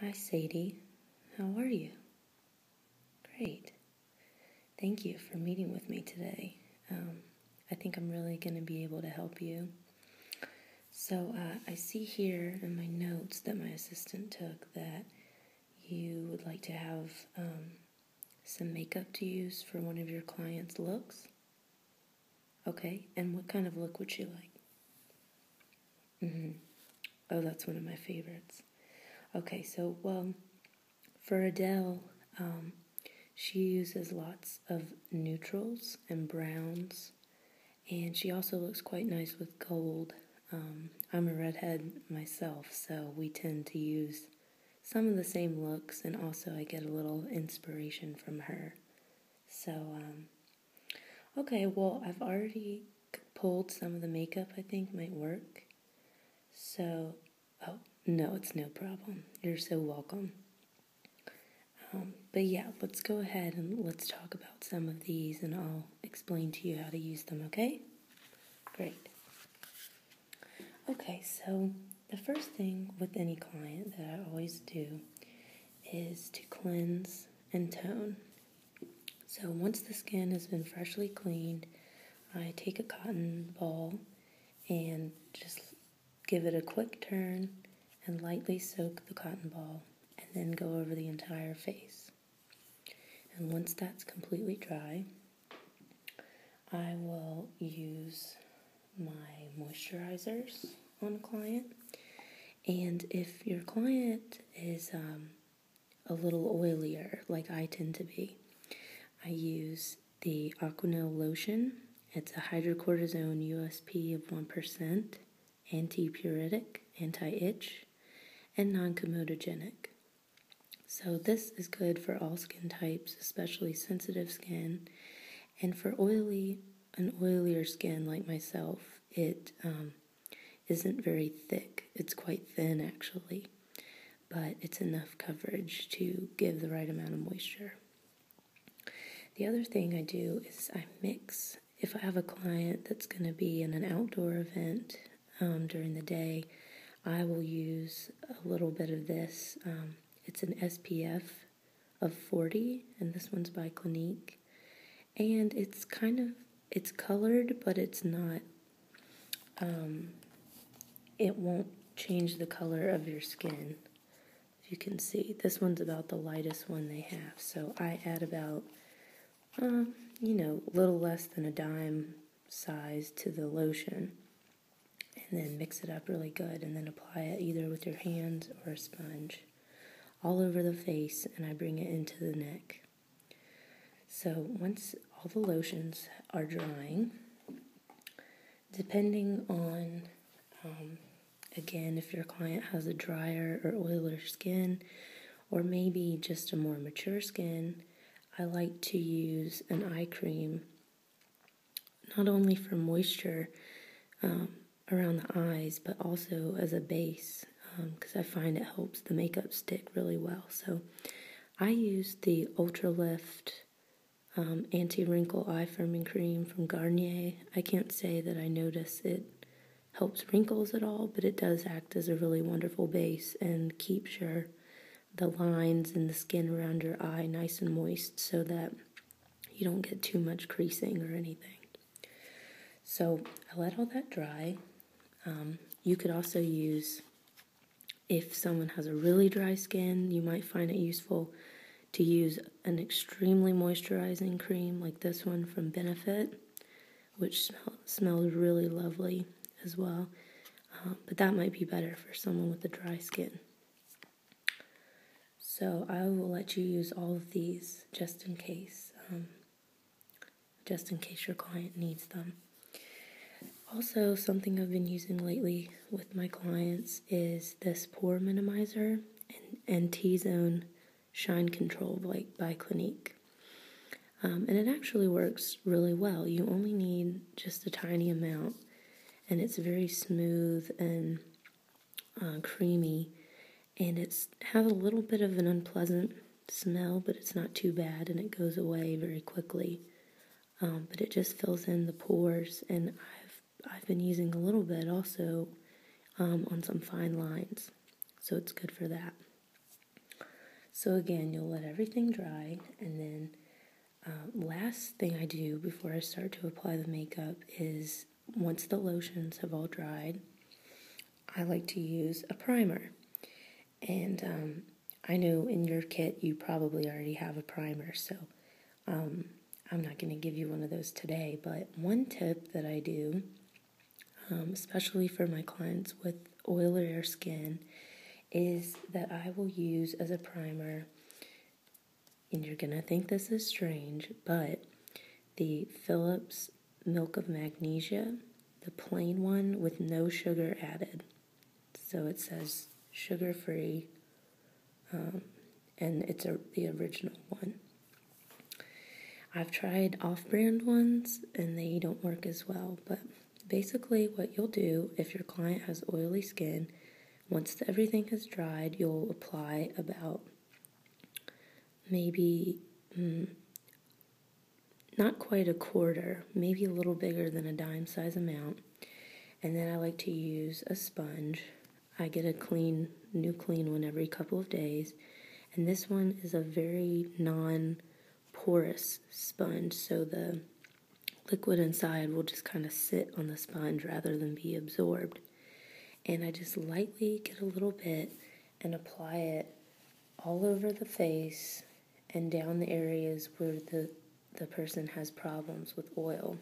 Hi, Sadie. How are you? Great. Thank you for meeting with me today. Um, I think I'm really going to be able to help you. So, uh, I see here in my notes that my assistant took that you would like to have um, some makeup to use for one of your clients' looks. Okay, and what kind of look would she like? Mm-hmm. Oh, that's one of my favorites. Okay, so, well, for Adele, um, she uses lots of neutrals and browns, and she also looks quite nice with gold. Um, I'm a redhead myself, so we tend to use some of the same looks, and also I get a little inspiration from her. So, um, Okay, well, I've already pulled some of the makeup I think might work. So, oh, no, it's no problem. You're so welcome. Um, but yeah, let's go ahead and let's talk about some of these and I'll explain to you how to use them, okay? Great. Okay, so the first thing with any client that I always do is to cleanse and tone. So once the skin has been freshly cleaned, I take a cotton ball and just give it a quick turn and lightly soak the cotton ball and then go over the entire face. And once that's completely dry, I will use my moisturizers on a client and if your client is um, a little oilier, like I tend to be, I use the Aquanil lotion. It's a hydrocortisone USP of 1%, anti puritic, anti itch, and non comedogenic. So, this is good for all skin types, especially sensitive skin, and for oily an oilier skin like myself, it um, not very thick. It's quite thin actually, but it's enough coverage to give the right amount of moisture. The other thing I do is I mix. If I have a client that's going to be in an outdoor event um, during the day, I will use a little bit of this. Um, it's an SPF of 40, and this one's by Clinique. And it's kind of, it's colored, but it's not, um, it won't change the color of your skin. you can see, this one's about the lightest one they have. So I add about, um, you know, little less than a dime size to the lotion and then mix it up really good and then apply it either with your hands or a sponge all over the face and I bring it into the neck. So once all the lotions are drying, depending on um, again if your client has a drier or oiler skin or maybe just a more mature skin, I like to use an eye cream not only for moisture. Um, around the eyes, but also as a base because um, I find it helps the makeup stick really well. So I use the Ultra Lift um, Anti Wrinkle Eye Firming Cream from Garnier. I can't say that I notice it helps wrinkles at all, but it does act as a really wonderful base and keeps your the lines and the skin around your eye nice and moist so that you don't get too much creasing or anything. So I let all that dry. Um, you could also use, if someone has a really dry skin, you might find it useful to use an extremely moisturizing cream like this one from Benefit, which smells really lovely as well. Um, but that might be better for someone with a dry skin. So I will let you use all of these just in case. Um, just in case your client needs them. Also, something I've been using lately with my clients is this pore minimizer and, T Zone Shine Control by Clinique. Um, and it actually works really well. You only need just a tiny amount, and it's very smooth and uh, creamy and it has a little bit of an unpleasant smell, but it's not too bad and it goes away very quickly. Um, but it just fills in the pores, and I've I've been using a little bit also um, on some fine lines, so it's good for that. So again, you'll let everything dry, and then uh, last thing I do before I start to apply the makeup is once the lotions have all dried, I like to use a primer. And um, I know in your kit you probably already have a primer, so um, I'm not going to give you one of those today. But one tip that I do, um, especially for my clients with oil skin, is that I will use as a primer, and you're going to think this is strange, but the Philips milk of magnesia, the plain one with no sugar added. So it says sugar free, um, and it's the original one. I've tried off brand ones and they don't work as well, but basically, what you'll do if your client has oily skin, once everything has dried, you'll apply about maybe mm, not quite a quarter, maybe a little bigger than a dime size amount. And then I like to use a sponge. I get a clean, new clean one every couple of days. And this one is a very non porous sponge, so the liquid inside will just kind of sit on the sponge rather than be absorbed. And I just lightly get a little bit and apply it all over the face and down the areas where the, the person has problems with oil.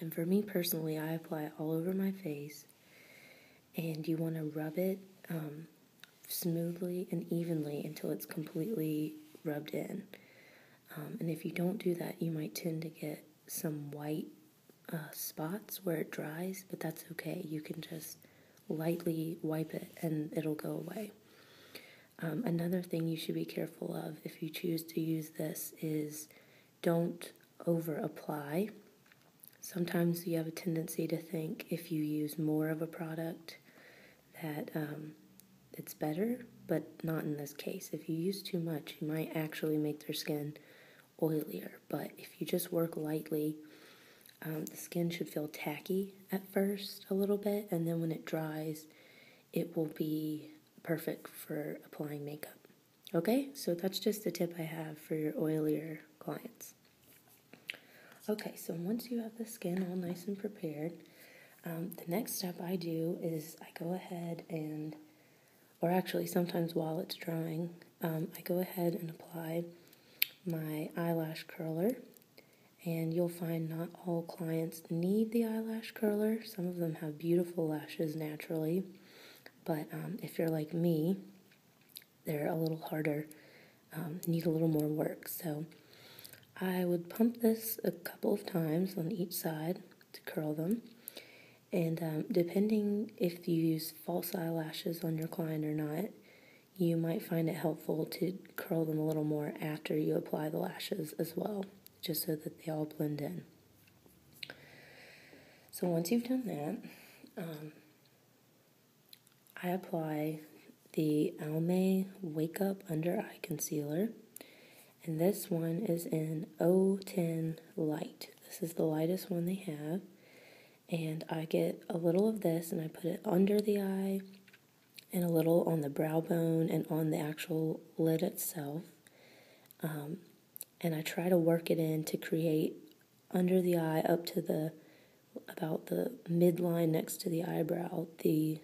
And for me personally, I apply it all over my face, and you want to rub it um, smoothly and evenly until it's completely rubbed in. Um, and if you don't do that, you might tend to get some white uh, spots where it dries, but that's okay. You can just lightly wipe it and it'll go away. Um, another thing you should be careful of if you choose to use this is don't over apply. Sometimes you have a tendency to think if you use more of a product that um, it's better, but not in this case. If you use too much, you might actually make their skin oilier. But if you just work lightly, um, the skin should feel tacky at first a little bit, and then when it dries, it will be perfect for applying makeup. Okay, so that's just a tip I have for your oilier clients. Okay, so once you have the skin all nice and prepared, um, the next step I do is I go ahead and, or actually sometimes while it's drying, um, I go ahead and apply my eyelash curler. And you'll find not all clients need the eyelash curler. Some of them have beautiful lashes naturally. But um, if you're like me, they're a little harder, um, need a little more work. So I would pump this a couple of times on each side to curl them. And depending if you use false eyelashes on your client or not, you might find it helpful to curl them a little more after you apply the lashes as well, just so that they all blend in. So once you've done that, um, I apply the Almay Wake Up Under Eye Concealer, and this one is in 010 Light. This is the lightest one they have, and I get a little of this and I put it under the eye and a little on the brow bone and on the actual lid itself. Um, and I try to work it in to create under the eye up to the about the midline next to the eyebrow the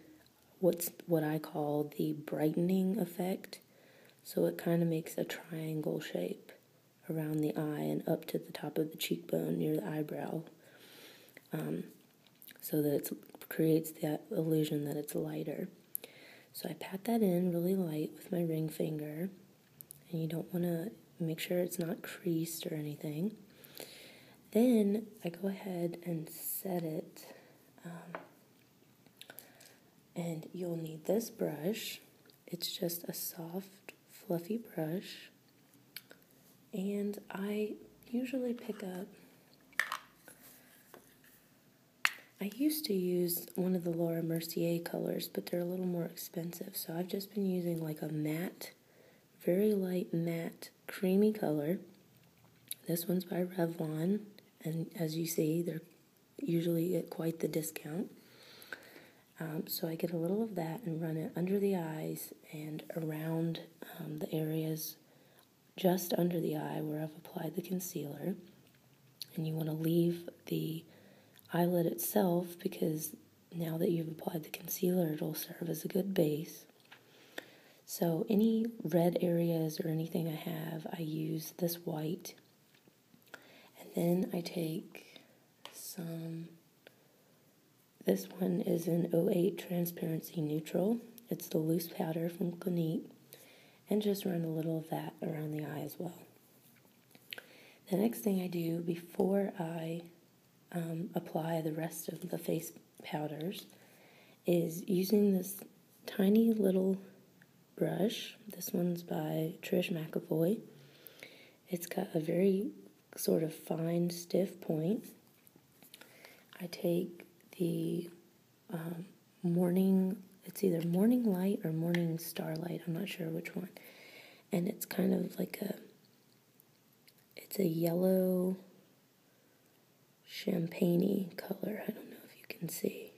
what's what I call the brightening effect. So it kind of makes a triangle shape around the eye and up to the top of the cheekbone near the eyebrow um, so that it creates that illusion that it's lighter. So I pat that in really light with my ring finger, and you don't want to make sure it's not creased or anything. Then I go ahead and set it. Um, and you'll need this brush. It's just a soft, fluffy brush. And I usually pick up, I used to use one of the Laura Mercier colors, but they're a little more expensive. So I've just been using like a matte, very light matte, creamy color. This one's by Revlon. And as you see, they're usually at quite the discount. Um, so I get a little of that and run it under the eyes and around um, the areas just under the eye where I've applied the concealer. And you want to leave the eyelid itself because now that you've applied the concealer, it'll serve as a good base. So, any red areas or anything I have, I use this white. And then I take some this one is in 08 Transparency Neutral. It's the loose powder from Clinique. And just run a little of that around the eye as well. The next thing I do before I um, apply the rest of the face powders is using this tiny little brush. This one's by Trish McAvoy. It's got a very sort of fine, stiff point. I take the um, morning, it's either morning light or morning starlight, I'm not sure which one. And it's kind of like a, it's a yellow champagne color. I don't know if you can see.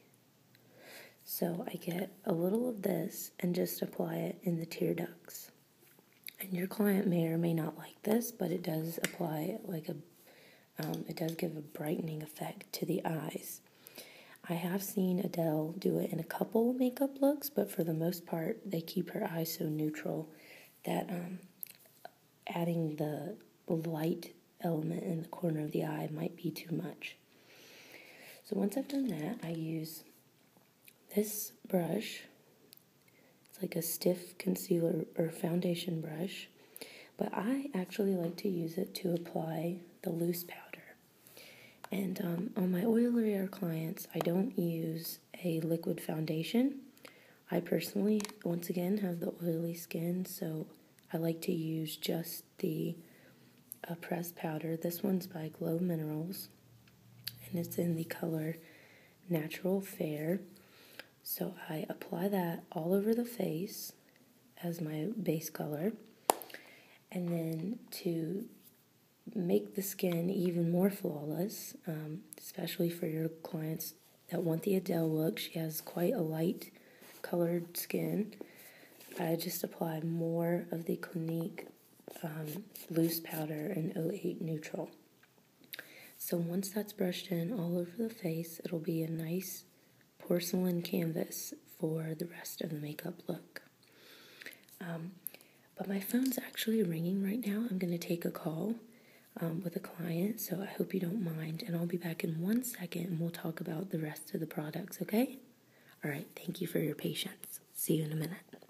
So I get a little of this and just apply it in the tear ducts and your client may or may not like this, but it does apply like a, um, it does give a brightening effect to the eyes. I have seen Adele do it in a couple makeup looks, but for the most part, they keep her eyes so neutral that um, adding the light element in the corner of the eye might be too much. So once I've done that, I use this brush, it's like a stiff concealer or foundation brush, but I actually like to use it to apply the loose powder. And um, on my oilier clients, I don't use a liquid foundation. I personally, once again, have the oily skin, so I like to use just the uh, pressed powder. This one's by Glow Minerals and it's in the color Natural Fair. So I apply that all over the face as my base color. And then to make the skin even more flawless, um, especially for your clients that want the Adele look, she has quite a light colored skin. I just apply more of the Clinique um, loose powder and 08 neutral. So once that's brushed in all over the face, it'll be a nice porcelain canvas for the rest of the makeup look. Um, but my phone's actually ringing right now. I'm going to take a call um, with a client, so I hope you don't mind. And I'll be back in one second and we'll talk about the rest of the products, okay? All right, thank you for your patience. See you in a minute.